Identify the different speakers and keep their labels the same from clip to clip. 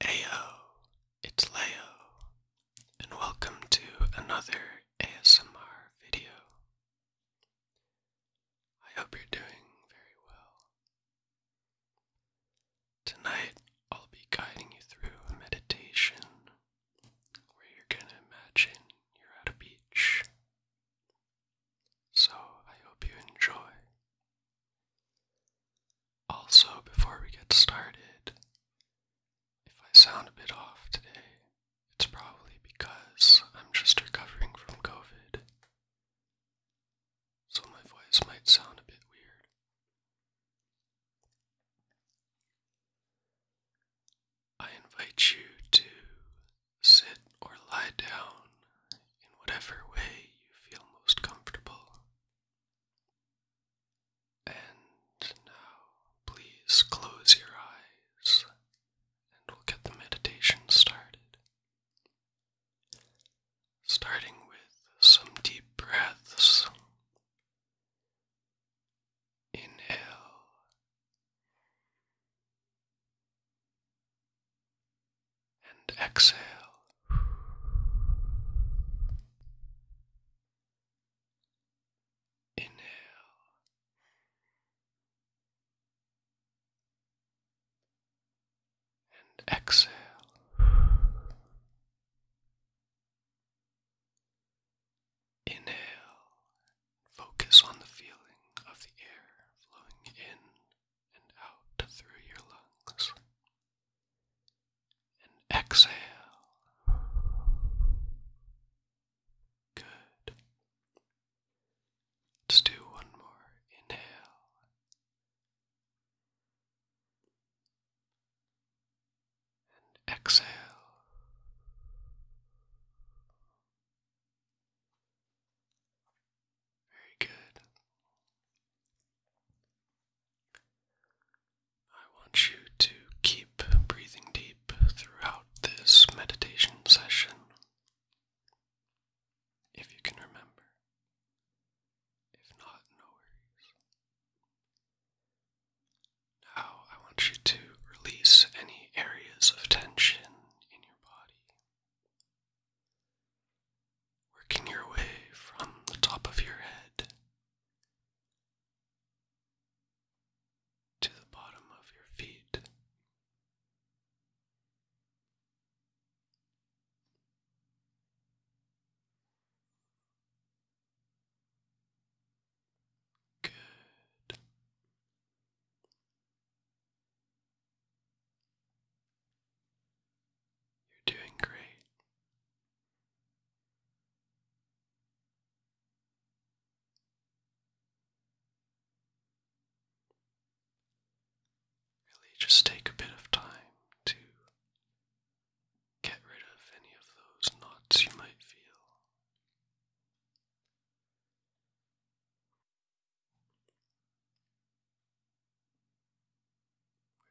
Speaker 1: Ayo, it's Leo, and welcome to another ASMR video. I hope you're doing very well. Tonight, I'll be guiding you through a meditation where you're going to imagine you're at a beach. So, I hope you enjoy. Also, before we get started, if I sound a bit off today, it's probably because I'm just recovering from COVID. So my voice might sound a bit weird. I invite you to sit or lie down in whatever way you feel most comfortable. And now, please close your eyes and we'll get the meditation started. Starting with some deep breaths. Inhale and exhale. Inhale. And exhale. Inhale. Focus on the feeling of the air flowing in and out through your lungs. And exhale. Good. Let's do one more. Inhale. And exhale. Very good. I want you to keep breathing deep throughout this meditation session, if you can remember. If not, no worries. Now I want you to release any areas of tension in your body working your way from the top of your head to the bottom of your feet. Good. You're doing great. Really, just take a bit of time to get rid of any of those knots you might feel.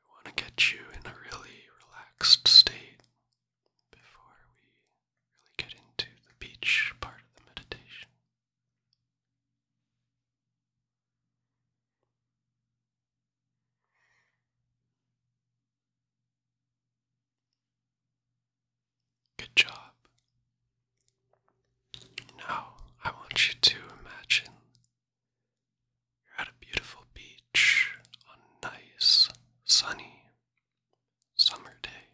Speaker 1: We want to get you in a really relaxed state before we really get into the beach part of the meditation. Good job. Now, I want you to imagine you're at a beautiful beach on a nice, sunny summer day.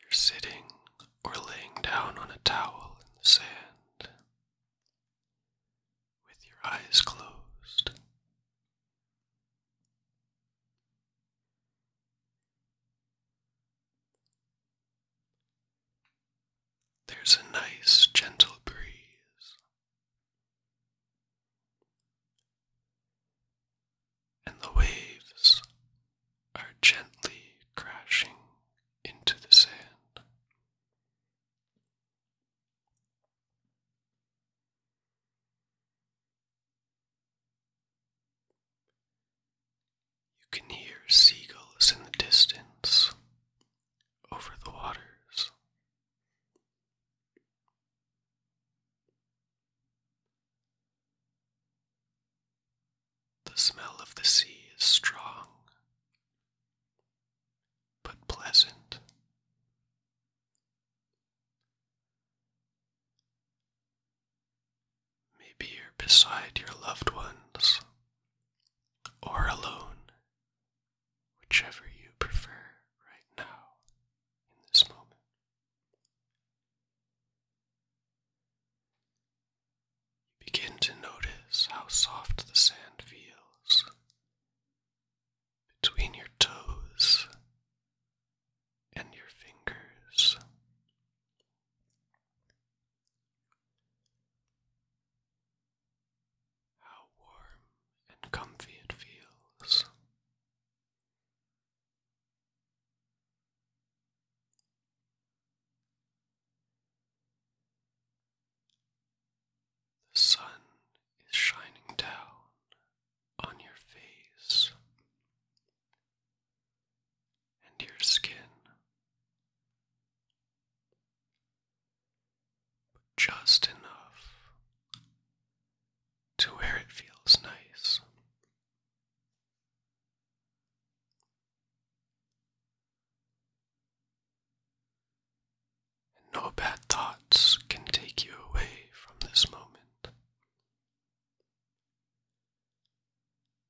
Speaker 1: You're sitting or laying down on a towel in the sand with your eyes closed. There's a nice, gentle breeze, and the waves are gently crashing into the sand. You can hear seagulls in the distance over the waters. The smell of the sea is strong but pleasant. Maybe you're beside your loved ones or alone, whichever you prefer right now in this moment. begin to notice how soft the sand feels between your toes and your fingers. How warm and comfy it feels. The sun is shining down on your face and your skin. just enough to where it feels nice no bad thoughts can take you away from this moment.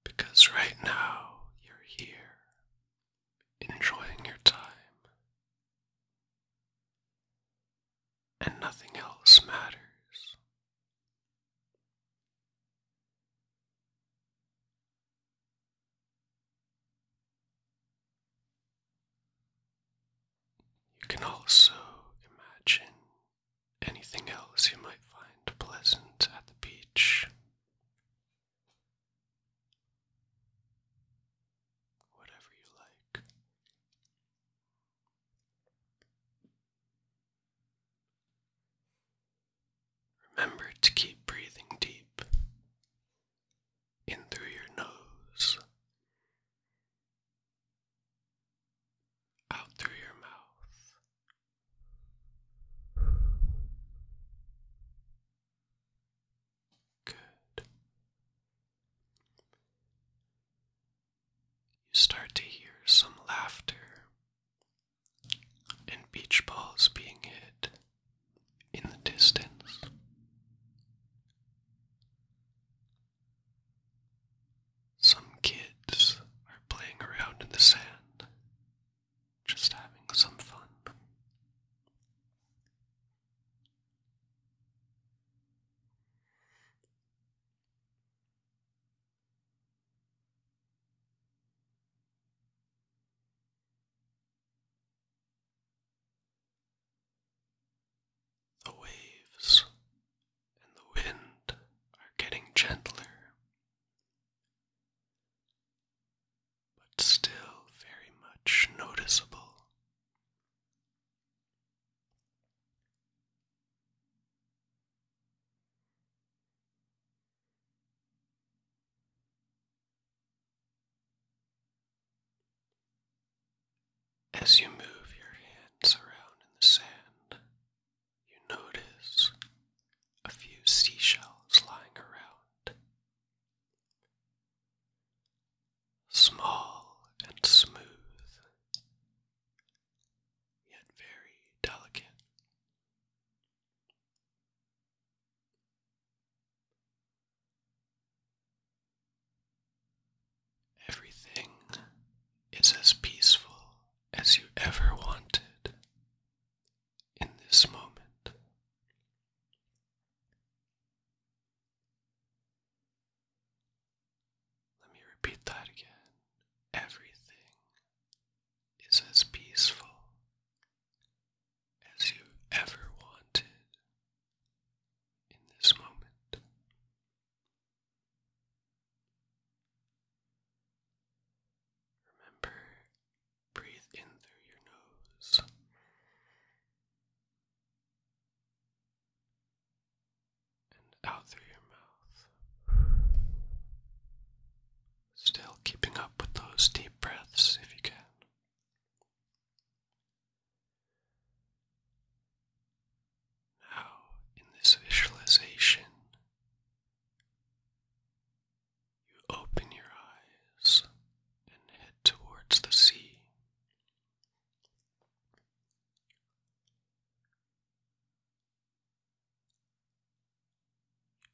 Speaker 1: Because right now you're here, enjoying your time, and nothing else matters. You can also imagine anything else you might find pleasant at the beach. Whatever you like. Remember to keep breathing deep in through your nose, out through your mouth. Good. You start to hear some laughter and beach balls being hit in the distance. Some kids are playing around in the sand, just having some fun. The waves and the wind are getting gentler, but still very much noticeable. As you move your hands around in the sand, you notice a few seashells lying around. Small and smooth, yet very delicate. Everything is as peaceful as you ever wanted in this moment. Let me repeat that again. Everything is as peaceful as you ever wanted in this moment. Remember, breathe in through your nose. And out through your mouth. Still keeping up with those deep breaths if you can. Now, in this visualization, you open your eyes and head towards the sea.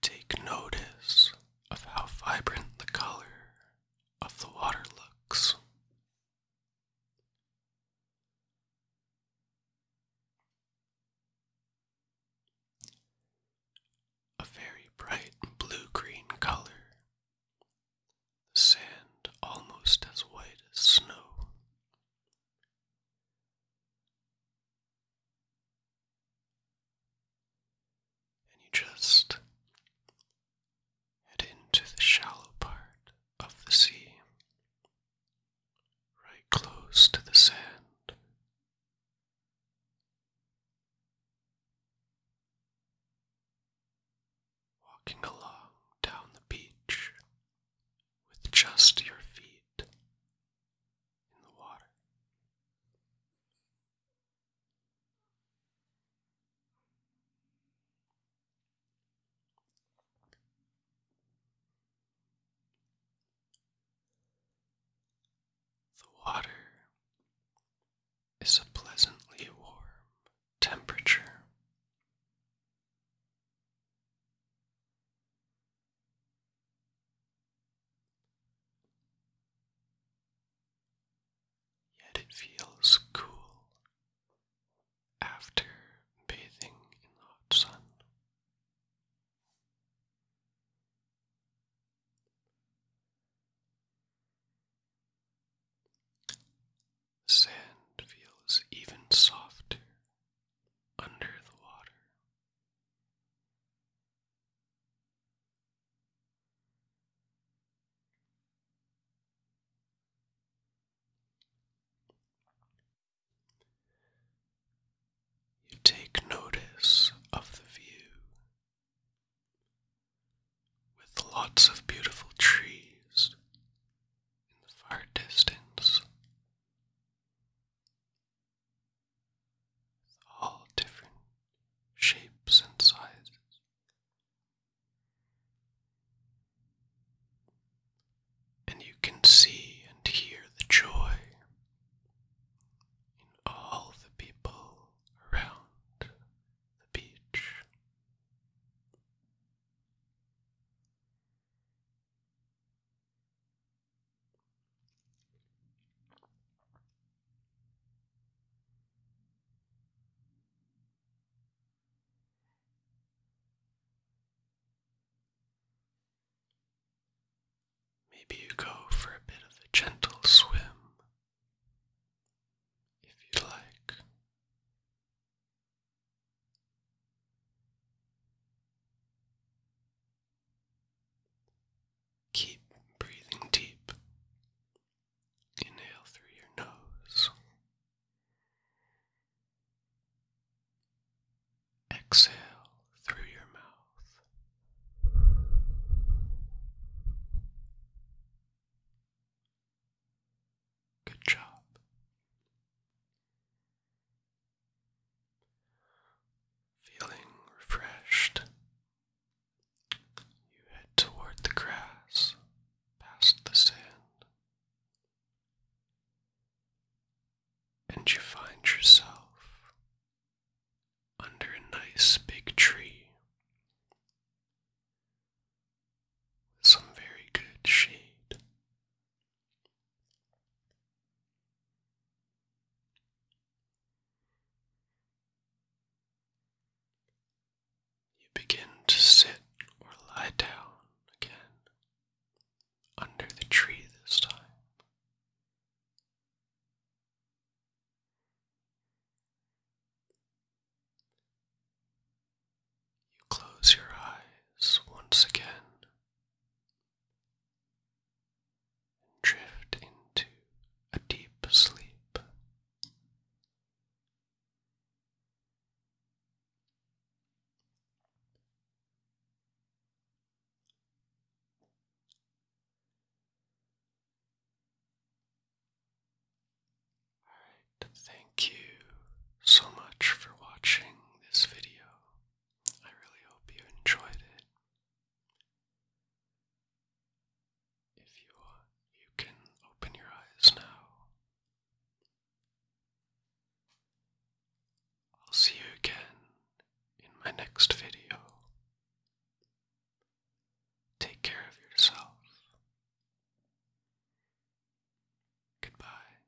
Speaker 1: Take notice of how vibrant the color of the water looks. A very bright blue green color, the sand almost as white as snow and you just head into the shallow part of the sea, right close to the sand. Walking along down the beach with just your feet in the water. The water is a pleasantly warm temperature. Yet it feels cool after bathing in the hot sun. The sand feels even softer under the water. You take notice of the view with lots of beautiful trees in the far distance all different shapes and sizes. And you can see and hear the joy in all the people around the beach. Maybe you go for a bit of a gentle swim if you like. Keep breathing deep. Inhale through your nose. Exhale through your mouth. Good job. Feeling refreshed you head toward the grass, past the sand, and you find yourself under a nice big tree some very good shade. You begin to sit or lie down again under the tree this time. You close your eyes once again drift into a deep sleep. Alright, thank you so much for watching this video. I really hope you enjoyed it. If you want, you can open your eyes now. I'll see you again in my next video. Take care of yourself. Goodbye.